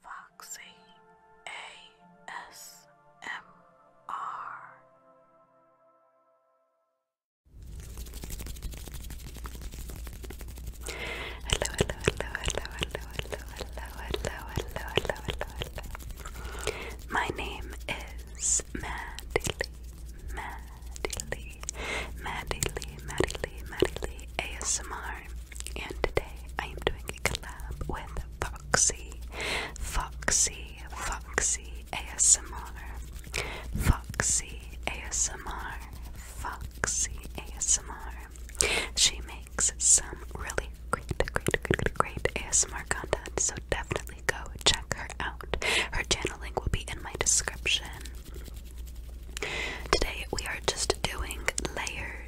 Foxy ASMR. Hello, hello, hello, hello, hello, hello, hello, hello, hello, hello, hello, hello. My name is Maddie Lee, Maddie Lee, Maddie Lee, Maddie Lee, Maddie Lee ASMR. And today I am doing a collab with Foxy, Foxy, Foxy ASMR, Foxy ASMR, Foxy ASMR. She makes some really great, great, great, great ASMR content, so definitely go check her out. Her channel link will be in my description. Today we are just doing layers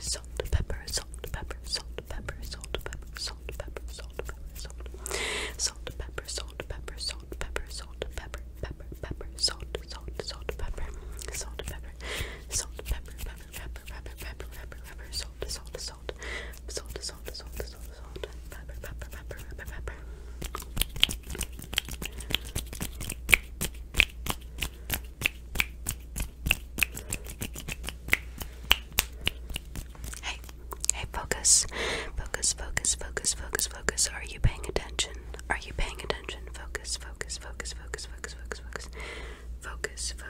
Salt, pepper, salt, pepper, salt, pepper, salt, pepper, salt, pepper, salt, pepper, salt, salt, pepper, salt, pepper, salt, pepper, salt, pepper, pepper, pepper, salt, salt, salt, pepper, salt, pepper, salt, pepper, pepper, rubber, rubber, rubber, rubber, rubber, rubber, salt, salt, salt, salt, salt, salt, salt, salt, salt, rubber, rubber, rubber, rubber, rubber. Hey, hey, focus, focus, focus, focus, focus, focus. Are you paying attention? Are you paying attention? focus, focus, focus, focus, focus, focus, focus, focus.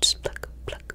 Just pluck, pluck,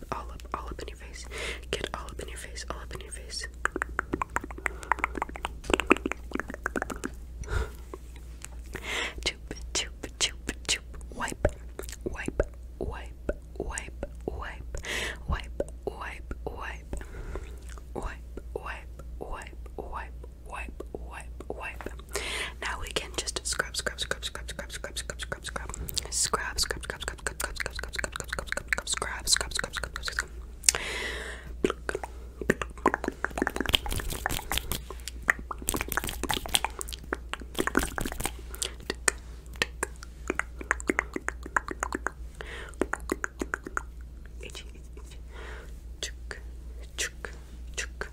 up, all up, all up in your face. Get all up in your face, all up in your face. Choop, choop, choop, choop. Wipe, wipe, wipe, wipe, wipe, wipe, wipe, wipe, wipe, wipe, wipe, wipe, wipe, wipe, wipe. Now we can just scrub, scrub, scrub, scrub, scrub, scrub, scrub, scrub, scrub, scrub, scrub, scrub, scrub, scrub, scrub, scrub, scrub, scrub, scrub, scrub, scrub, scrub, scrub, scrub, scrub, Itchy, itchy, itchy. Chuk, chuk, chuk,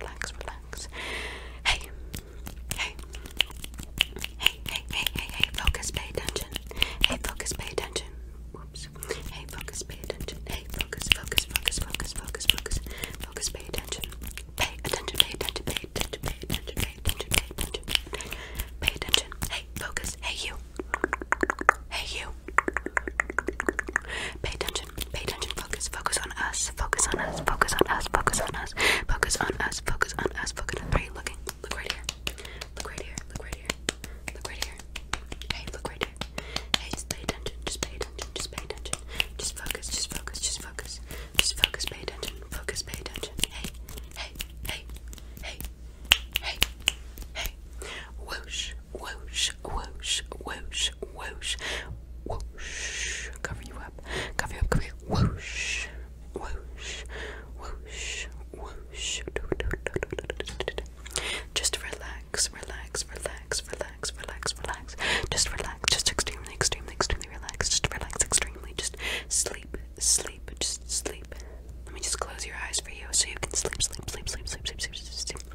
relax, relax, relax. Hey, hey, hey, hey, hey, hey, hey, focus, pay attention. Hey, focus, pay attention. Whoops. Hey, focus, pay attention. Hey, focus, focus, focus, focus, focus, focus, focus, pay attention. Pay attention, pay attention, pay attention, pay attention, pay attention, pay attention, pay attention. Pay attention. Hey, focus. Hey, you. Hey, you. Pay attention attention, pay attention, focus, focus on us, focus on us, focus on us, focus on us, focus on us, focus on us, focus on us. Are you looking? Look right here. Look right here. Look right here. Look right here. Hey, look right here. Hey, just pay attention. Just pay attention. Just pay attention. Just focus. Just focus. Just focus. Just focus. Pay attention. Focus. Pay attention. Hey, hey, hey, hey, hey, hey. Whoosh, whoosh, whoosh, whoosh, whoosh, whoosh. Cover you up, cover you up, cover you up. Whoosh, whoosh, whoosh, whoosh. Just relax, relax, relax, relax, relax, relax. Just relax, just extremely, extremely, extremely relax. Just relax, extremely. Just sleep, sleep, just sleep. Let me just close your eyes for you so you can sleep, sleep, sleep, sleep, sleep, sleep, sleep, sleep. sleep.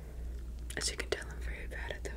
As you can tell, I'm very bad at the wave.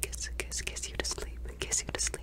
Kiss, kiss, kiss you to sleep, kiss you to sleep.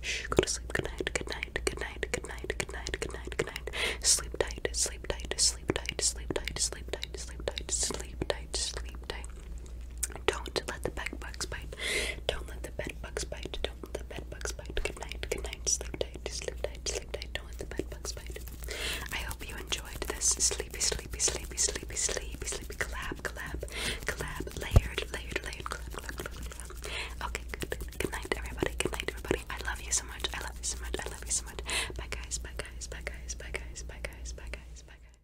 Shh, go to sleep. Good night. Good night. Good night. Good night. Good night. Good night. Good night. Sleep tight. Sleep tight. Sleep tight. Sleep tight. Sleep tight. Sleep tight. Sleep tight. Sleep tight. Don't let the bed bugs bite. Don't let the bed bugs bite. Don't let the bed bugs bite. Good night. Good night. Sleep tight. Sleep tight. Sleep tight. Don't let the bed bugs bite. I hope you enjoyed this sleepy, sleepy, sleepy, sleepy, sleepy, sleepy collab, collab, collab, layered, layered, late. Okay, good. Good night, everybody. Good night, everybody. I love you so much. I love you so much. I love you so much. Bye, guys. Bye, guys. Bye, guys. Bye, guys. Bye, guys. Bye, guys. Bye, guys.